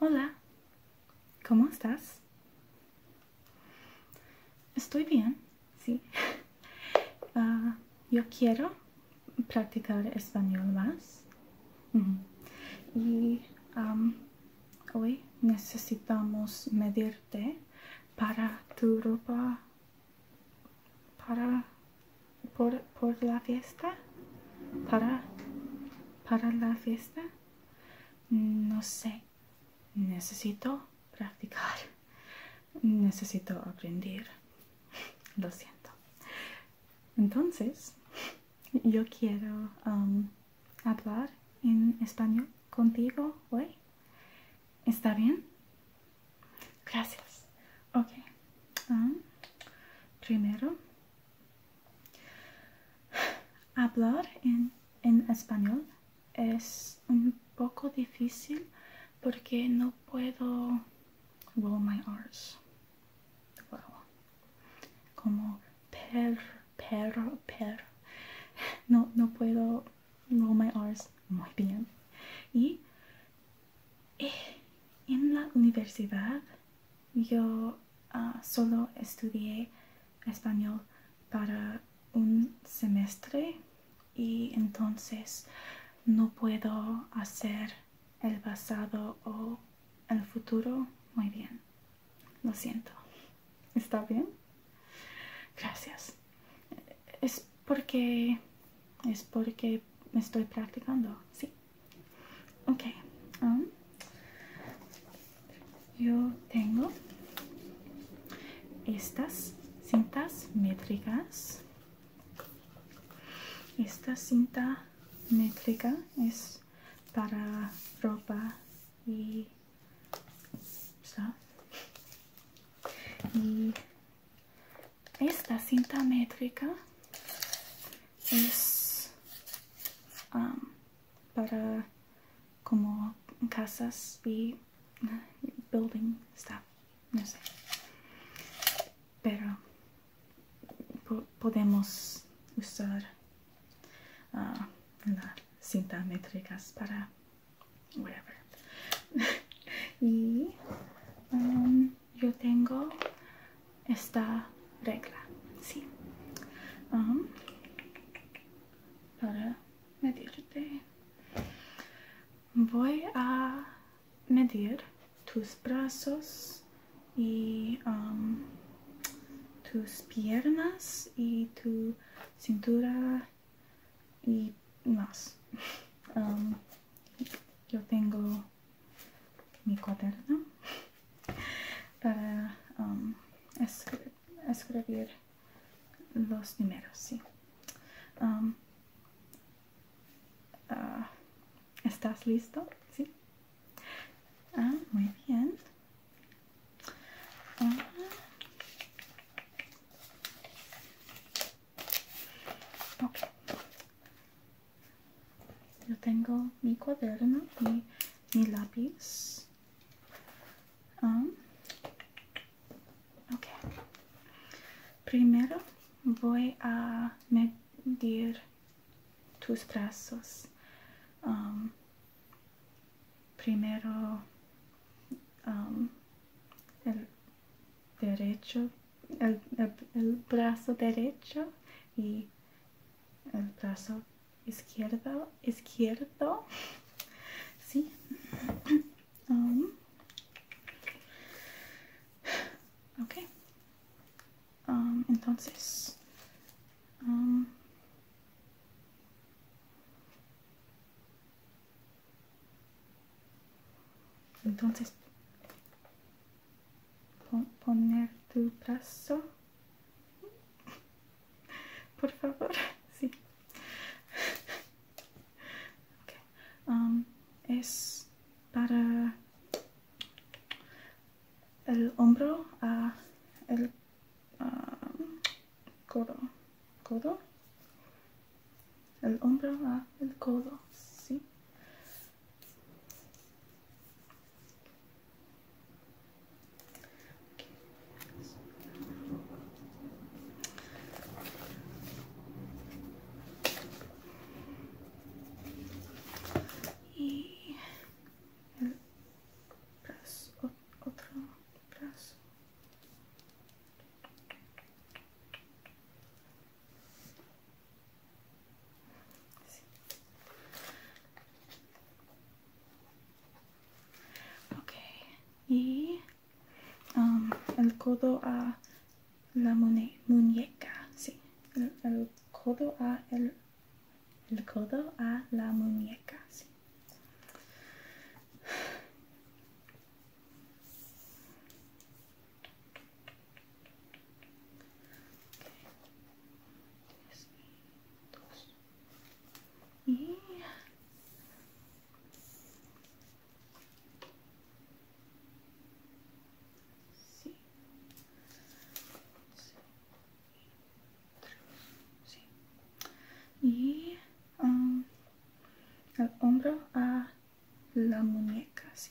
Hola, ¿cómo estás? Estoy bien, sí. Ah, yo quiero practicar español más. Y hoy necesitamos medirte para tu ropa para por, la fiesta. Para, para la fiesta. No sé, necesito practicar, necesito aprender. Lo siento. Entonces, yo quiero um, hablar en español contigo hoy. ¿Está bien? Gracias. Ok. Um, primero Hablar en, español es un poco difícil porque no puedo roll my R's. Como per, perro, per. No, puedo roll my R's muy bien. Y eh, en la universidad yo Ah, solo estudié español para un semestre y entonces no puedo hacer el pasado o el futuro muy bien. Lo siento. ¿Está bien? Gracias. Es porque es porque me estoy practicando, sí. Okay, um, yo tengo estas cintas métricas. Esta cinta métrica es para ropa y Y esta cinta métrica es para como casas y building stuff, no sé. Pero podemos usar ah, la cinta métricas para whatever. y yo tengo esta regla, ¿sí? para medirte. Voy a medir tus brazos y um, tus piernas y tu cintura y más. Um, yo tengo mi cuaderno para um, escribir los números, sí. Um, ah, ¿Estás listo? Sí. Ah, muy bien. Ah. Yo tengo mi cuaderno y mi lápiz. Um, okay Primero voy a medir tus brazos. Um, primero um, el derecho, el, el, el brazo derecho y el brazo izquierdo, izquierdo, sí. Um, ok. Um, entonces, um, entonces poner tu brazo por favor, sí. Um, es para el hombro a el um, codo. ¿Codo? El hombro a el codo, sí y el brazo, otro brazo Okay, y el codo a la muñeca, sí, el, codo a el, codo a la muñeca, sí. Y el ah, hombro a la muñeca, sí.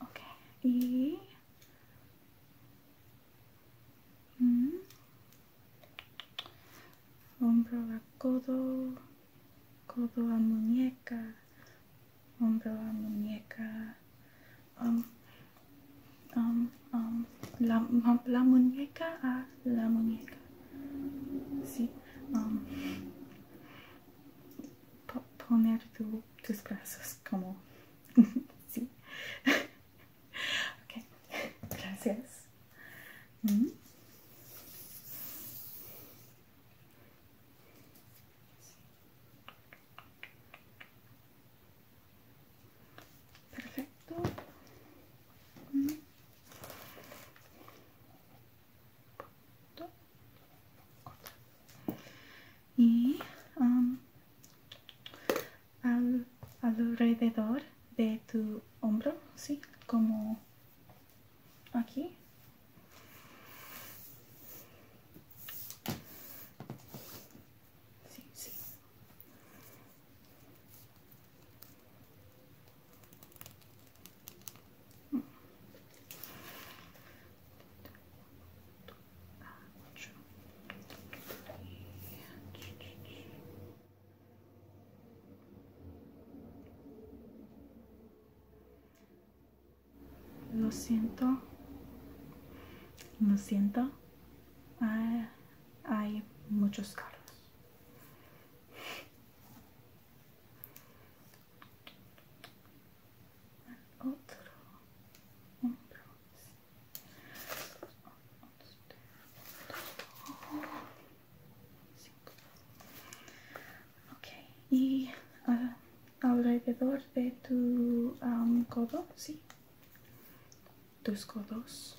Ok, y... Mm, hombro a codo, codo a muñeca, hombro a muñeca, um, um, um, la, la muñeca a la muñeca. Sí. Um, poner tus brazos como... sí. ok. Gracias. Mm. Perfecto. Mm y um, alrededor de tu hombro, sí, como aquí. Lo siento, lo siento. Ah, hay muchos carros otro y ah, alrededor de tu ah, codo sí tus codos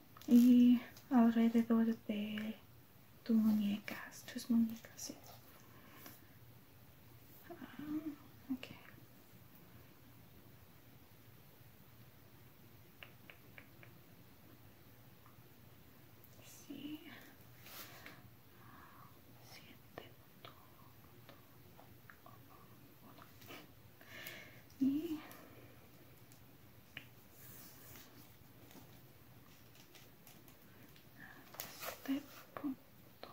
y alrededor de tus muñecas, tus muñecas, sí. Ah, este punto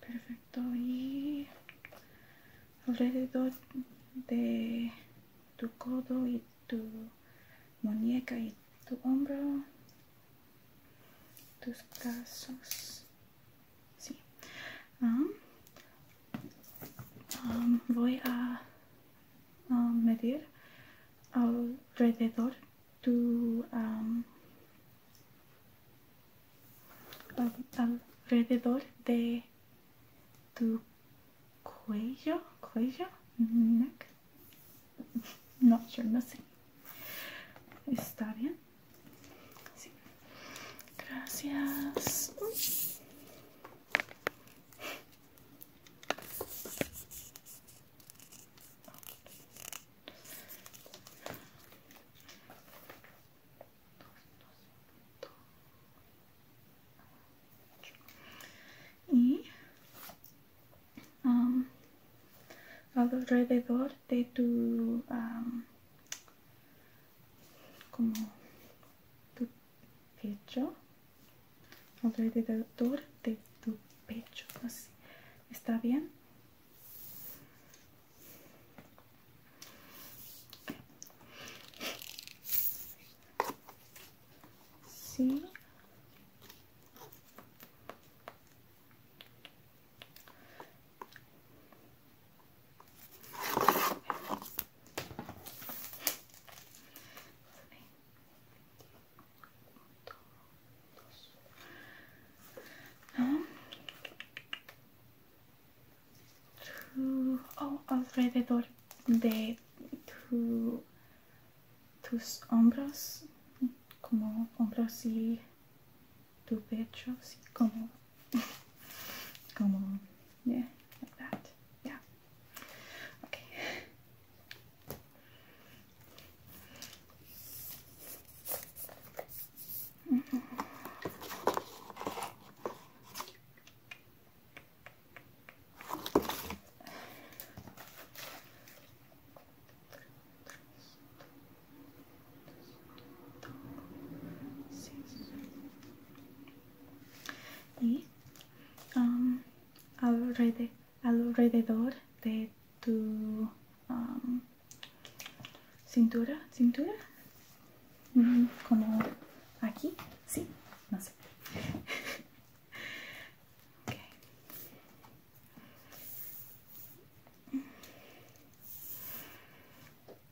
perfecto y alrededor de tu codo y tu muñeca y tu hombro tus brazos Ah. Ah, voy a, medir alrededor de tu cuello cuello neck no yo no está bien Gracias. Y alrededor de tu como tu pecho alrededor de tu pecho así está bien sí Oh, alrededor de tu, tus hombros, como hombros y two pechos come on, yeah like that yeah okay Y um, alrededor, de tu um, cintura, cintura, mm, como aquí, sí, no sé.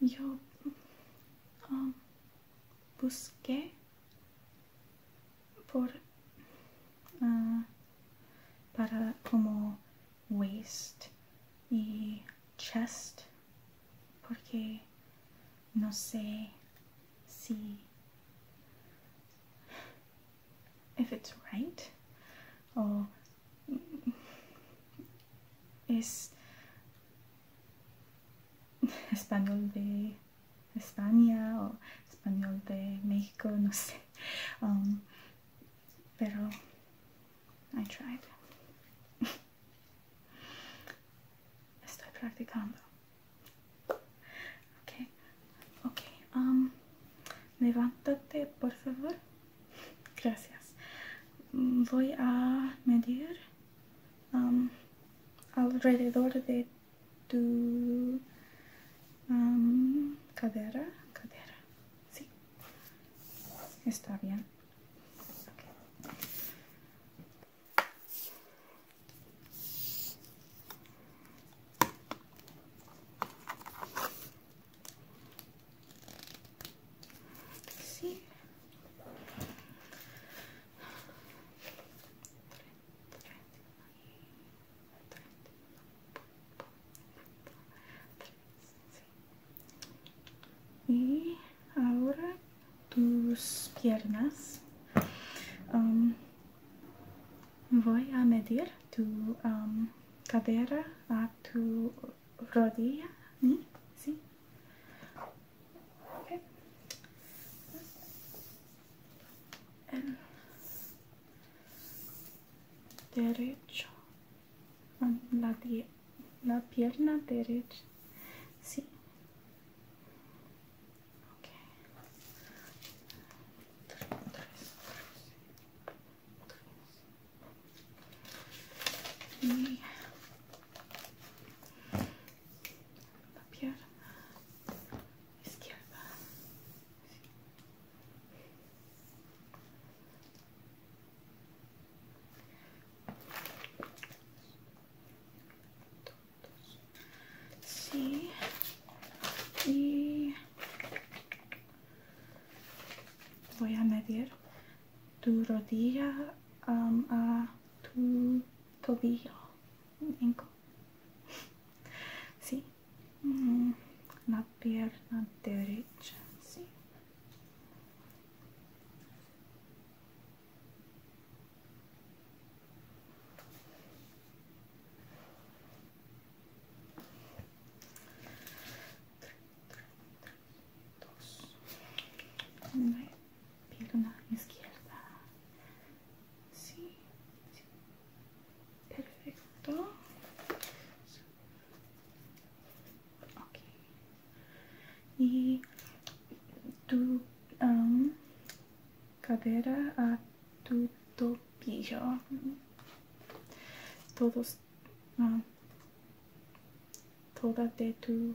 Yo um, busqué por uh, para como waist y chest porque no sé si if it's right or es español de España o español de México, no sé. Um, pero I tried. Estoy practicando. Okay, okay. Um, levántate, por favor. Gracias. Voy a medir um, alrededor de tu um, cadera. Cadera. Sí. Está bien. see. Y ahora tus piernas. Um, voy a medir tu um, cadera a tu rodilla, ¿sí? ¿Sí? derecho, ah, la, pierna derecha, sí y la pierna izquierda Sí, y voy a medir tu rodilla um, a tu tobillo Inco. Ecco. sì mm, la pierna derecha sì Tre, tre, tre, dos pierna izquierda sí, perfecto ok y tu um, cadera a tu tobillo todos ah um, toda de tu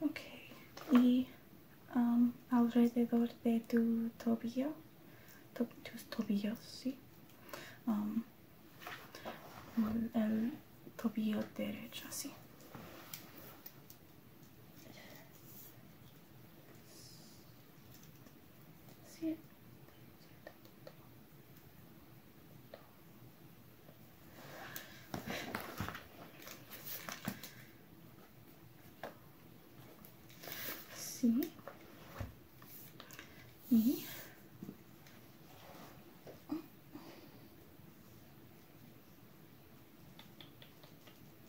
Ok, y um, alrededor de tu tobillo, tus tobillos, sí. Um, el tobillo derecho, sí siete, Sí. Y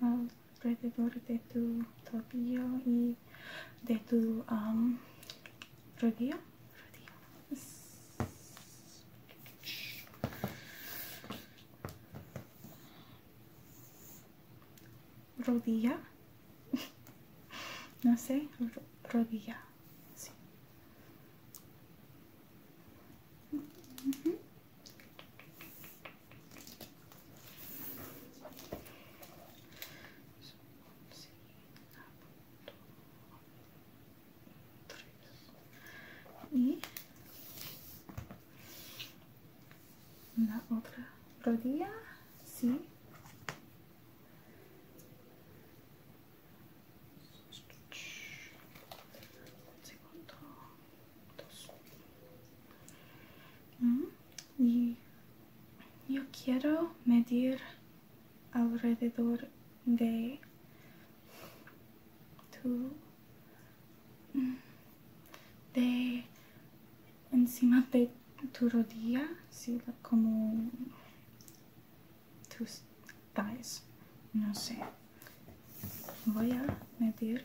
alrededor de tu tobillo y de tu am rodillo. rodilla no sé rodilla y la otra rodilla sí segundo mm. Y yo quiero medir alrededor de tu mm, de encima de tu rodilla, ¿sí? como tus thighs, no sé. Voy a medir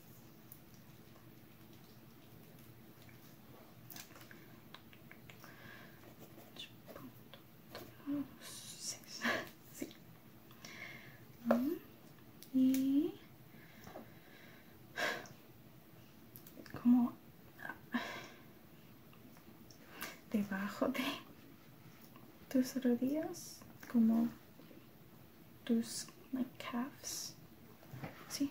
6 sí. y como debajo de tus rodillas como tus like, calves sí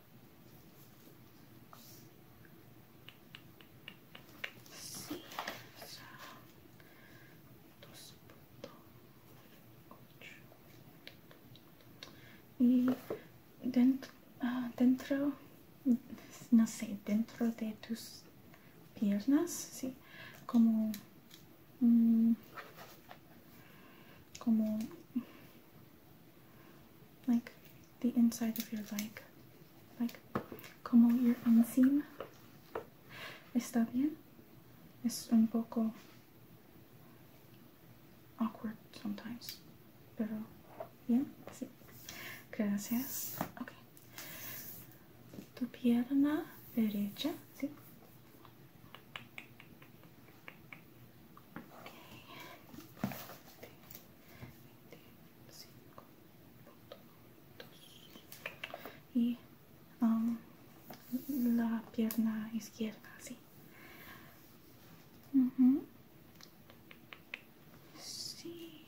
y dentro, ah, dentro no sé dentro de tus piernas sí como mm, como like the inside of your leg, like como your inseam. ¿Está bien? Es un poco awkward sometimes, pero bien, sí. Gracias. Okay. Tu pierna derecha, sí. y um, la pierna izquierda así sí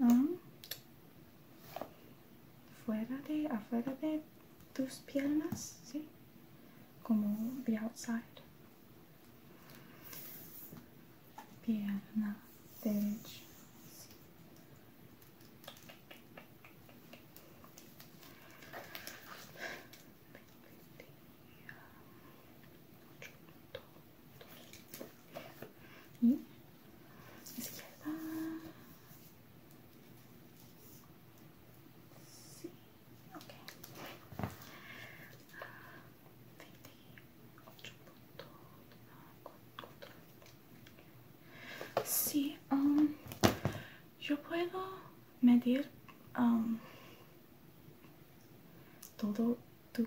Ah. Fuera de, afuera de tus piernas, ¿sí? Como the outside. Pierna derecha y izquierda sí ok 28.4 sí um, yo puedo medir um, todo tu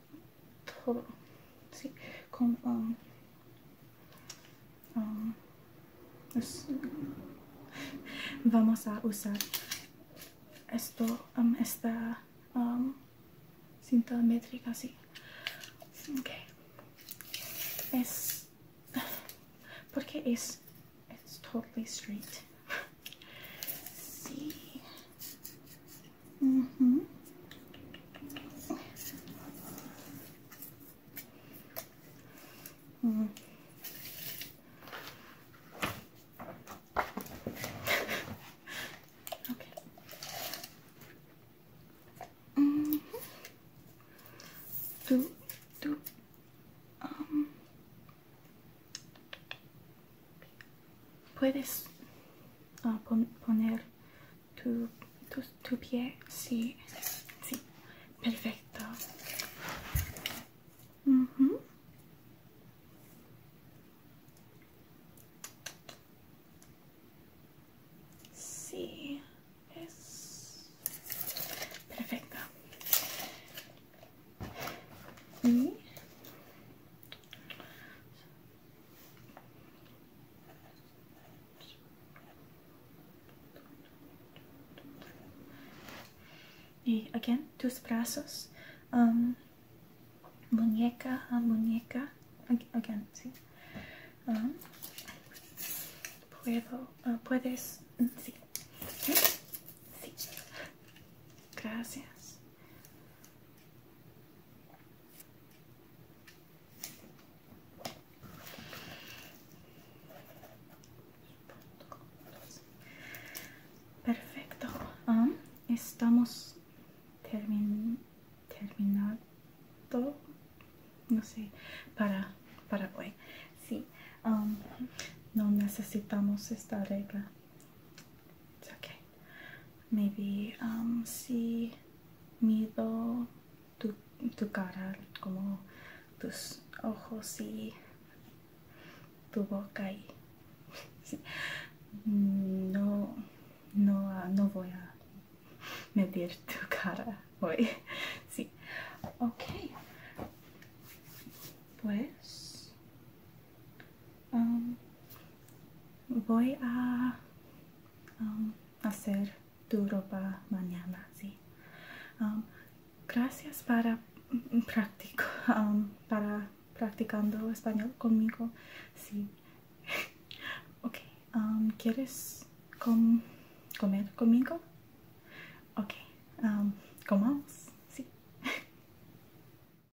Um, um, vamos a usar esto, um, esta um, Okay. Es, porque es, it's totally straight see. Mm hmm Mm. okay. Mm -hmm. Do do um puedes ah, poner tu, pie sí sí perfecto Si, sí es perfecto y y again tus brazos um, muñeca ah, muñeca again sí um, puedo ah, puedes mm, sí gracias Perfecto, ah, estamos terminando terminado, no sé, para Paraguay. Sí, ah, no necesitamos esta regla. Maybe um, si mido tu, cara, como tus ojos y tu boca y mm, no, no, ah, no voy a medir tu cara hoy. Sí. Okay. Pues Um, voy a um, hacer tu ropa mañana, sí. Um, gracias para, practicando español conmigo, sí. Okay, ¿quieres comer conmigo? Ok, comamos, sí.